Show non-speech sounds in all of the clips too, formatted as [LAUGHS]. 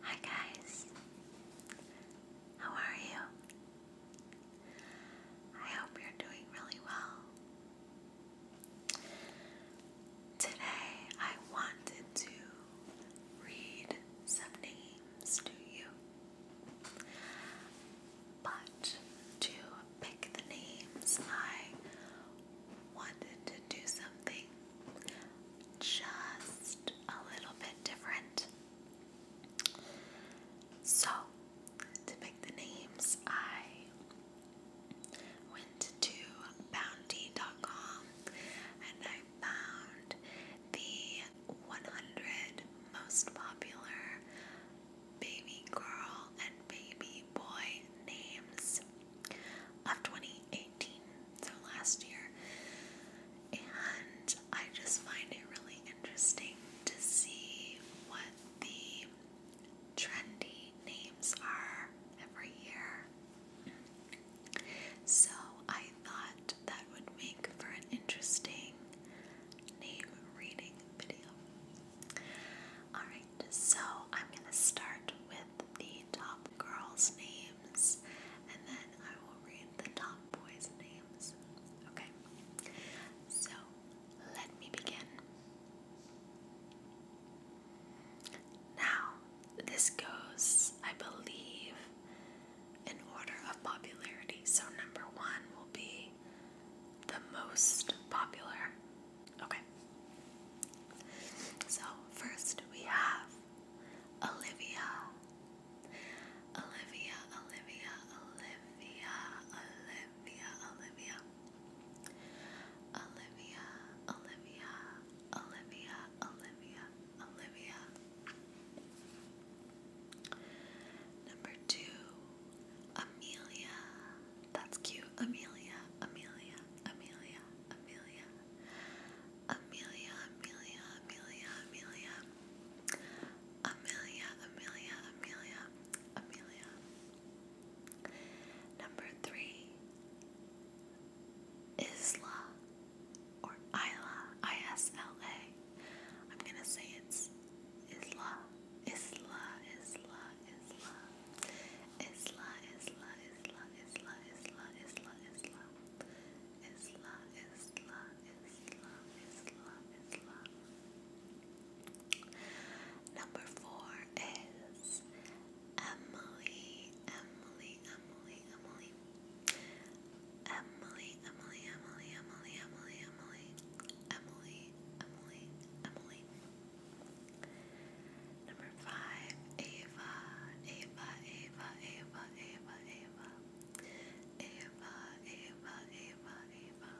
Hi guys, how are you? I hope you're doing really well. Today I wanted to read some names to you, but to pick the names I wanted to do something just a little bit different. So, to pick the names, I went to bounty.com and I found the 100 most popular baby girl and baby boy names of 2018, so last year. And I just find it really interesting to see what the trendy names are every year. So I thought that would make for an interesting name reading video. Alright so I'm going to start with the top girls' names and then I will read the top boys' names. Okay, so let me begin. Now, this goes, I believe, in order of popularity. So, number one will be the most popular, Okay. So, first we have Olivia. Olivia, Olivia, Olivia, Olivia, Olivia. Olivia, Olivia, Olivia, Olivia, Number two, Amelia. That's cute. Amelia, Amelia, Amelia. Amelia, Amelia, Amelia, Amelia, Amelia, Amelia, Amelia, Amelia, Amelia. Number three, Isla or Isla, I S L A. I'm gonna say it's Isla, Isla, Isla, Isla, Isla, Isla, Isla, Isla, Isla, Isla, Isla, Isla, Isla, Isla, Isla, Isla. Number four is Emily, Emily, Emily, Emily. Emily, Emily, Emily, Emily, Emily, Emily, Emily, Emily, Emily. Number five, Ava, Ava, Ava, Ava, Ava, Ava, Ava, Ava, Ava, Ava.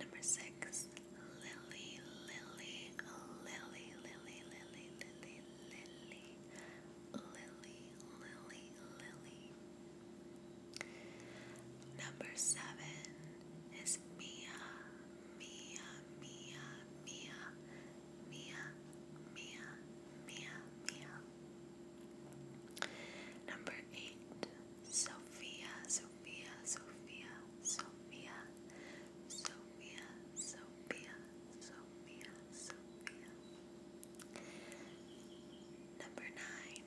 Number six, Lily, Lily, Lily, Lily, Lily, Lily, Lily, Lily, Lily, Lily. Number seven is Mia, Mia, Mia, Mia, Mia, Mia, Mia, Mia. Number eight, Sophia, Sophia, Sophia, Sophia, Sophia, Sophia, Sophia, Sophia. Number nine,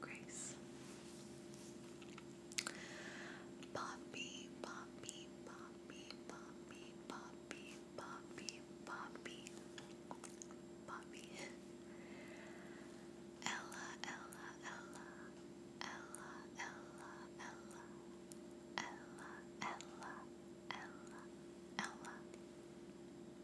Grace. Poppy, Poppy, Poppy, Poppy, Poppy, Poppy, Poppy, Ella, Ella, Ella, Ella, Ella, Ella, Ella, Ella, Ella.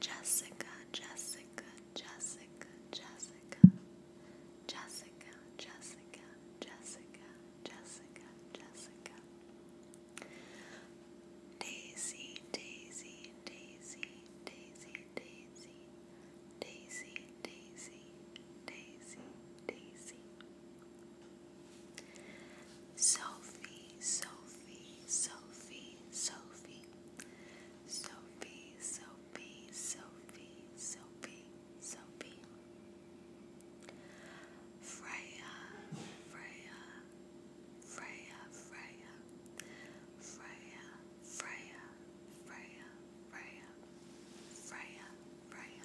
Jessica, Jessica, Jessica, Jessica, Jessica, Jessica, Jessica, Jessica, Jessica. Daisy, Daisy, Daisy, Daisy, Daisy, Daisy, Daisy, Daisy, Daisy. Sophie, Sophie, Sophie, Sophie, Sophie, Sophie, Sophie, Sophie, Sophie, Freya, Freya, Freya, Freya, Freya, Freya, Freya, Freya, Freya, Freya.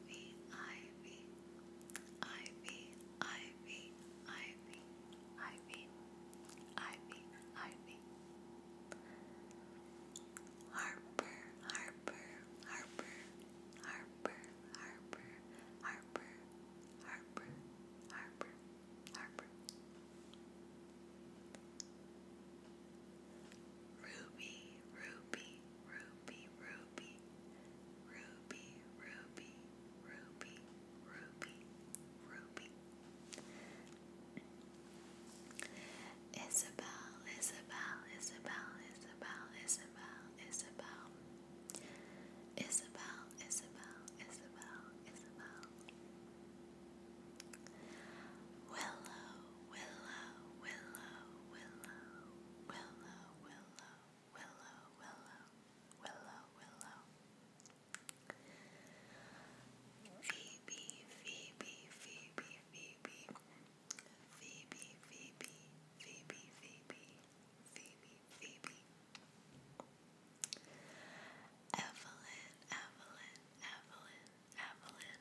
Ivy, Ivy, Ivy, Ivy, Ivy, Ivy, Ivy, Ivy. Harper, Harper, Harper, Harper, Harper, Harper, Harper, Harper, Harper. Ruby, Ruby, Ruby, Ruby, Ruby, Ruby, Ruby, Ruby, Ruby. Isabel, Isabel, Isabel, Isabel, Isabel, Isabel. Isabel, Isabel, Isabel, Isabel. Willow, willow, willow, willow, willow, willow, willow, willow, willow, willow. Phoebe, Phoebe, Phoebe, Phoebe, Phoebe, Phoebe, Phoebe, Phoebe, Phoebe, Phoebe. Evelyn, Evelyn, Evelyn, Evelyn,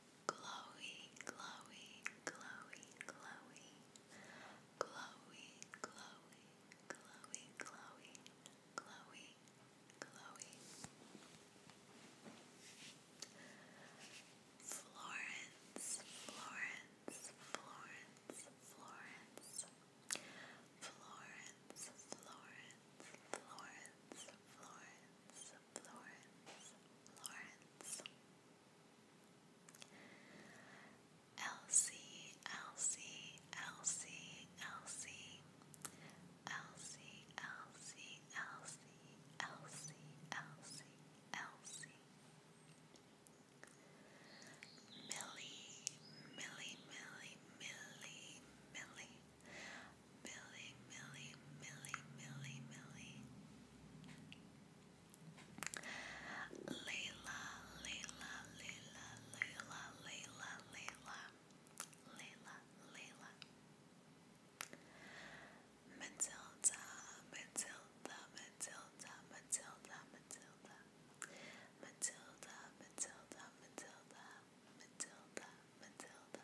Chloe, Chloe, Chloe, Chloe, Chloe, Chloe, Chloe, Chloe, Chloe, Chloe, Florence, Florence, Florence, Florence, Florence, Florence, Florence, Florence, Florence, Lawrence. Elsie, Elsie, Elsie, Elsie. Elsie, Elsie, Elsie, Elsie, Elsie, Elsie. Millie, Millie, Millie, Millie, Millie. Millie, Millie, Millie, Millie, Millie. Layla, Layla, Layla, Layla, Layla, Layla, Layla, Layla. Matilda, Matilda, Matilda, Matilda, Matilda. Matilda, Matilda, Matilda, Matilda, Matilda.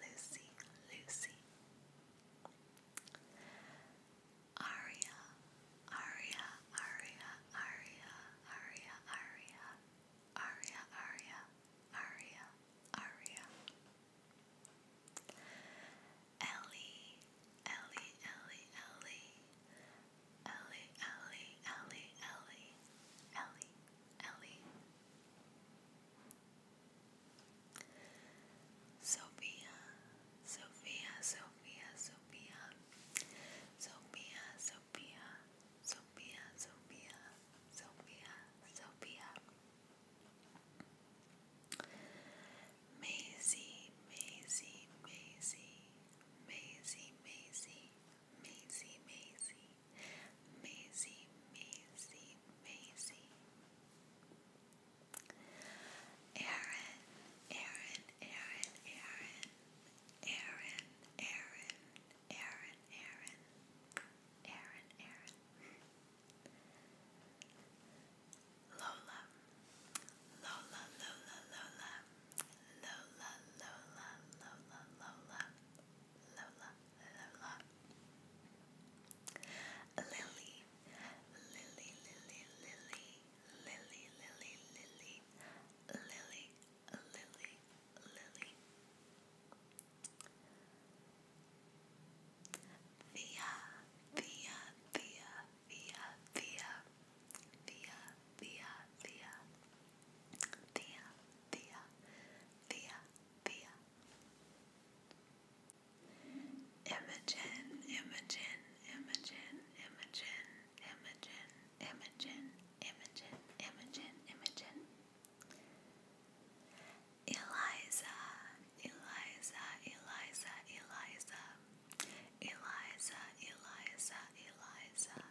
Lucy, Lucy. Aria, Aria, Aria, Aria, Aria, Aria, Aria, Aria, Aria, Aria. Ellie, Ellie, Ellie, Ellie, Ellie, Ellie, Ellie, Ellie, Ellie. Ellie, Sophia, Sophia, Sophia, Sophia, Sophia, Sophia, Sophia, Sophia, Sophia, Sophia, Maisie, Maisie, Maisie, Maisie, Maisie. Maisie, Maisie, Maisie, Maisie, Maisie. Aaron, Aaron, Aaron, Aaron, Aaron, Aaron, Aaron, Aaron, Aaron, Aaron. Lola, Lola, Lola, Lola, Lola, Lola, Lola, Lola, Lola, Lola. Lily, Lily, Lily, Lily, Lily, Lily, Lily, Lily, Via, via, via, via, via, via, via, via, Thea, Thea, Thea, Thea. Imogen, Imogen, Imogen, Imogen, Imogen, Imogen, Imogen, Imogen, Imogen. Eliza, Eliza, Eliza, Eliza. Eliza, Eliza, Eliza.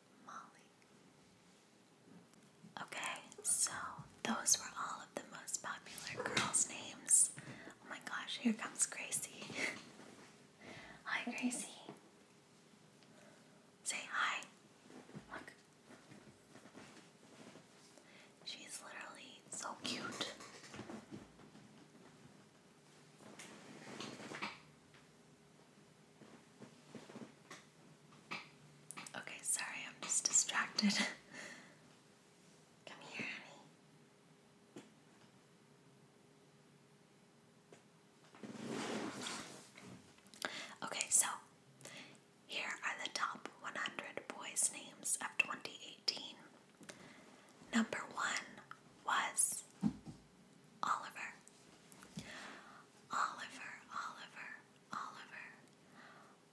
Molly. Okay, so those were all of the most popular girls' names. Oh my gosh, here comes Gracie. [LAUGHS] hi, Gracie. Say hi. Look. She's literally so cute. Okay, sorry, I'm just distracted. [LAUGHS] Come here, honey. Okay, so here are the top 100 boys' names of 2018. Number one was Oliver. Oliver, Oliver, Oliver.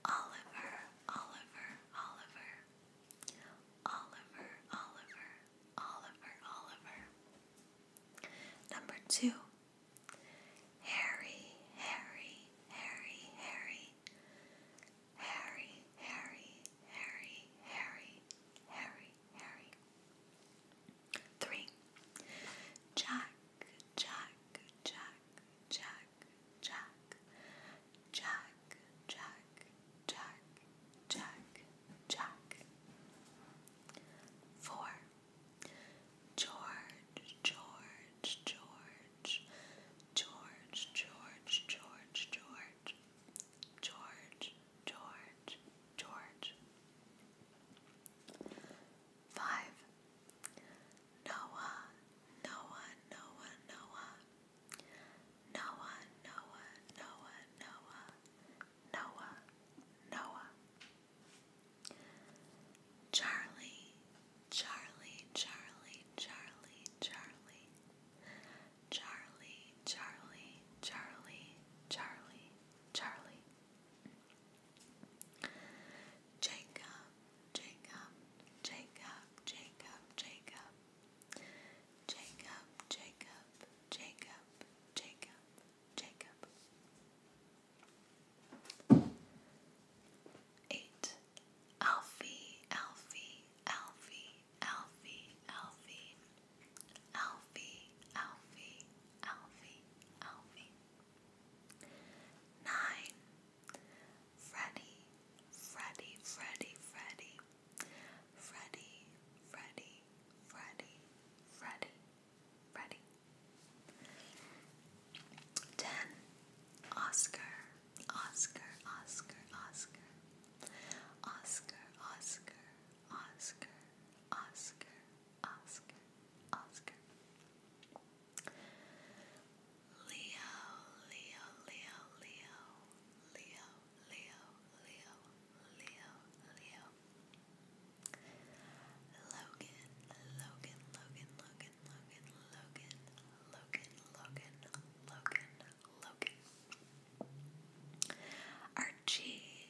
Oliver, Oliver, Oliver. Oliver, Oliver, Oliver, Oliver. Number two. Harry, Harry, Harry, Harry. Harry, Harry, Harry, Harry, Harry, Harry. Three. Jack, Jack, Jack, Jack, Jack, Jack, Jack, Jack, Jack, Jack. Four. George, George, George, George, George, George, George, George, George, George. 5. Noah, Noah, Noah, Noah. Noah, Noah, Noah, Noah. Noah, Noah. Charlie, Charlie, Charlie, Charlie, Charlie. Charlie, Charlie, Charlie, Charlie. Charlie, Jacob, Jacob, Jacob, Jacob, Jacob, Jacob, Jacob, Jacob, Jacob, Eight. Alfie, Alfie, Alfie, Alfie, Alfie, Alfie, Alfie, Alfie, Alfie. Nine. Freddy, Freddy, Freddy, Freddy. Freddy, Freddy, Freddy, Freddy, Freddy. Ten. Oscar, Oscar, Oscar, Oscar. Oscar, Oscar, Oscar, Oscar, Oscar, Oscar. Leo, Leo, Leo, Leo, Leo, Leo, Leo, Leo, Leo. Logan, Logan, Logan, Logan, Logan, Logan, Logan, Logan, Logan, Logan. Archie,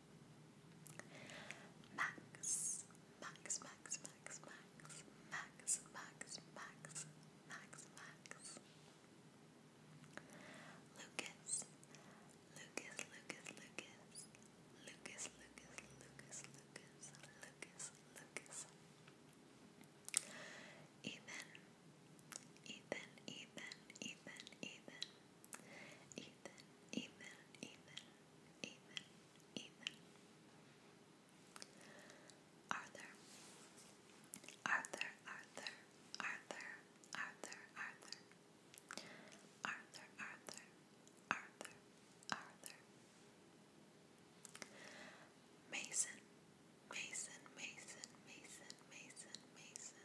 Max, Max, Max, Max, Max, Max, Max, Max, Max, Max. Lucas, Lucas, Lucas, Lucas, Lucas, Lucas, Lucas, Lucas, Ethan, Ethan, Ethan, Ethan, Ethan. Ethan, Ethan, Ethan, Ethan, Ethan. Arthur, Arthur, Arthur, Arthur, Arthur, Arthur. Arthur, Arthur, Arthur, Arthur. Mason, Mason, Mason, Mason, Mason, Mason.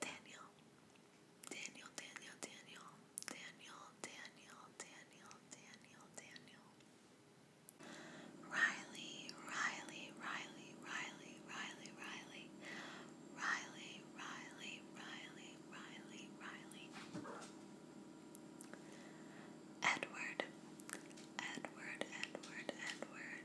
Daniel, Daniel, Daniel, Daniel, Daniel, Daniel, Daniel, Daniel, Daniel. Riley, Riley, Riley, Riley, Riley, Riley, Riley, Riley, Riley, Riley, Riley. Edward, Edward, Edward, Edward.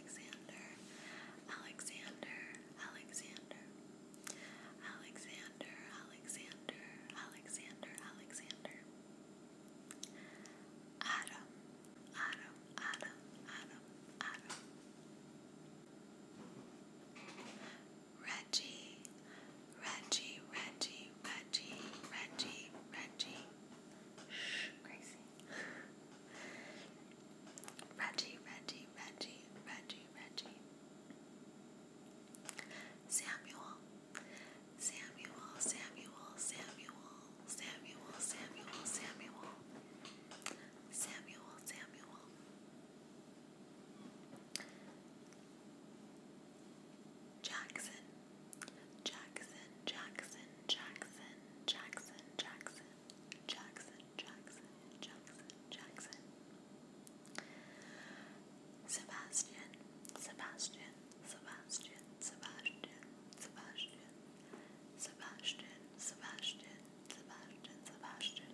Alexander, Alexander, Alexander, Alexander, Alexander, Alexander, Alexander, Adam, Adam, Adam, Adam, Adam, Reggie, Reggie, Reggie, Reggie, Reggie, Reggie. Shh, Gracie. Reggie, Reggie, Reggie, Reggie, Reggie. Samuel, Samuel, Samuel, Samuel, Samuel, Samuel, Samuel, Samuel, Samuel. Jackson, Jackson, Jackson, Jackson, Jackson, Jackson, Jackson, Jackson, Jackson, Jackson. Sebastian, Sebastian, Sebastian, Sebastian, Sebastian, Sebastian, Sebastian, Sebastian, Sebastian.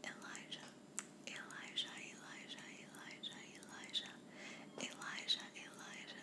Elijah, Elijah, Elijah, Elijah, Elijah, Elijah, Elijah,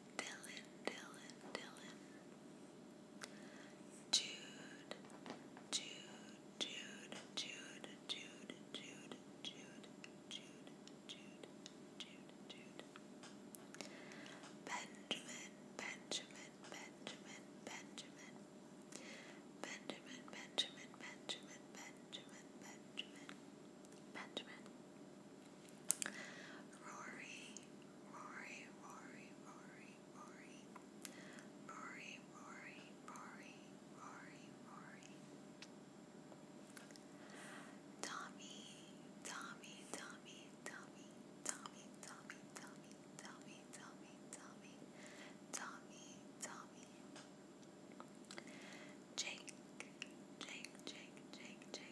Dylan, Dylan, Dylan. Jude, Jude, Jude, Jude, Jude, Jude, Jude, Jude, Jude, Jude, Jude. Benjamin, Benjamin, Benjamin, Benjamin. Benjamin, Benjamin, Benjamin, Benjamin, Benjamin. Benjamin. Rory, Rory, Rory, Rory, Rory, Rory, Rory, Rory, Rory, Rory. Tommy, Tommy, Tommy, Tommy, Tommy, Tommy, Tommy, Tommy, Tommy, Tommy, Tommy, Tommy. Jake, Jake, Jake, Jake, Jake.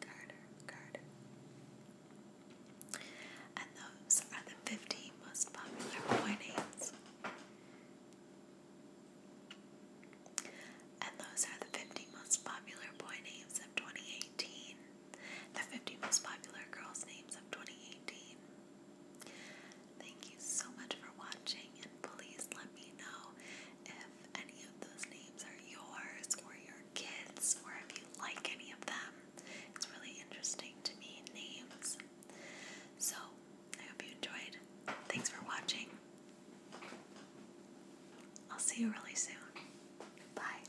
Carter, Carter. And those are the 15 most popular boy names. And those are the 50 most popular boy names of 2018. The 50 most popular girls' names of 2018. Thank you so much for watching, and please let me know if any of those names are yours or your kids or if you like any of them. It's really interesting to me, names. So, I hope you enjoyed. Thanks for watching. I'll see you really soon. Bye.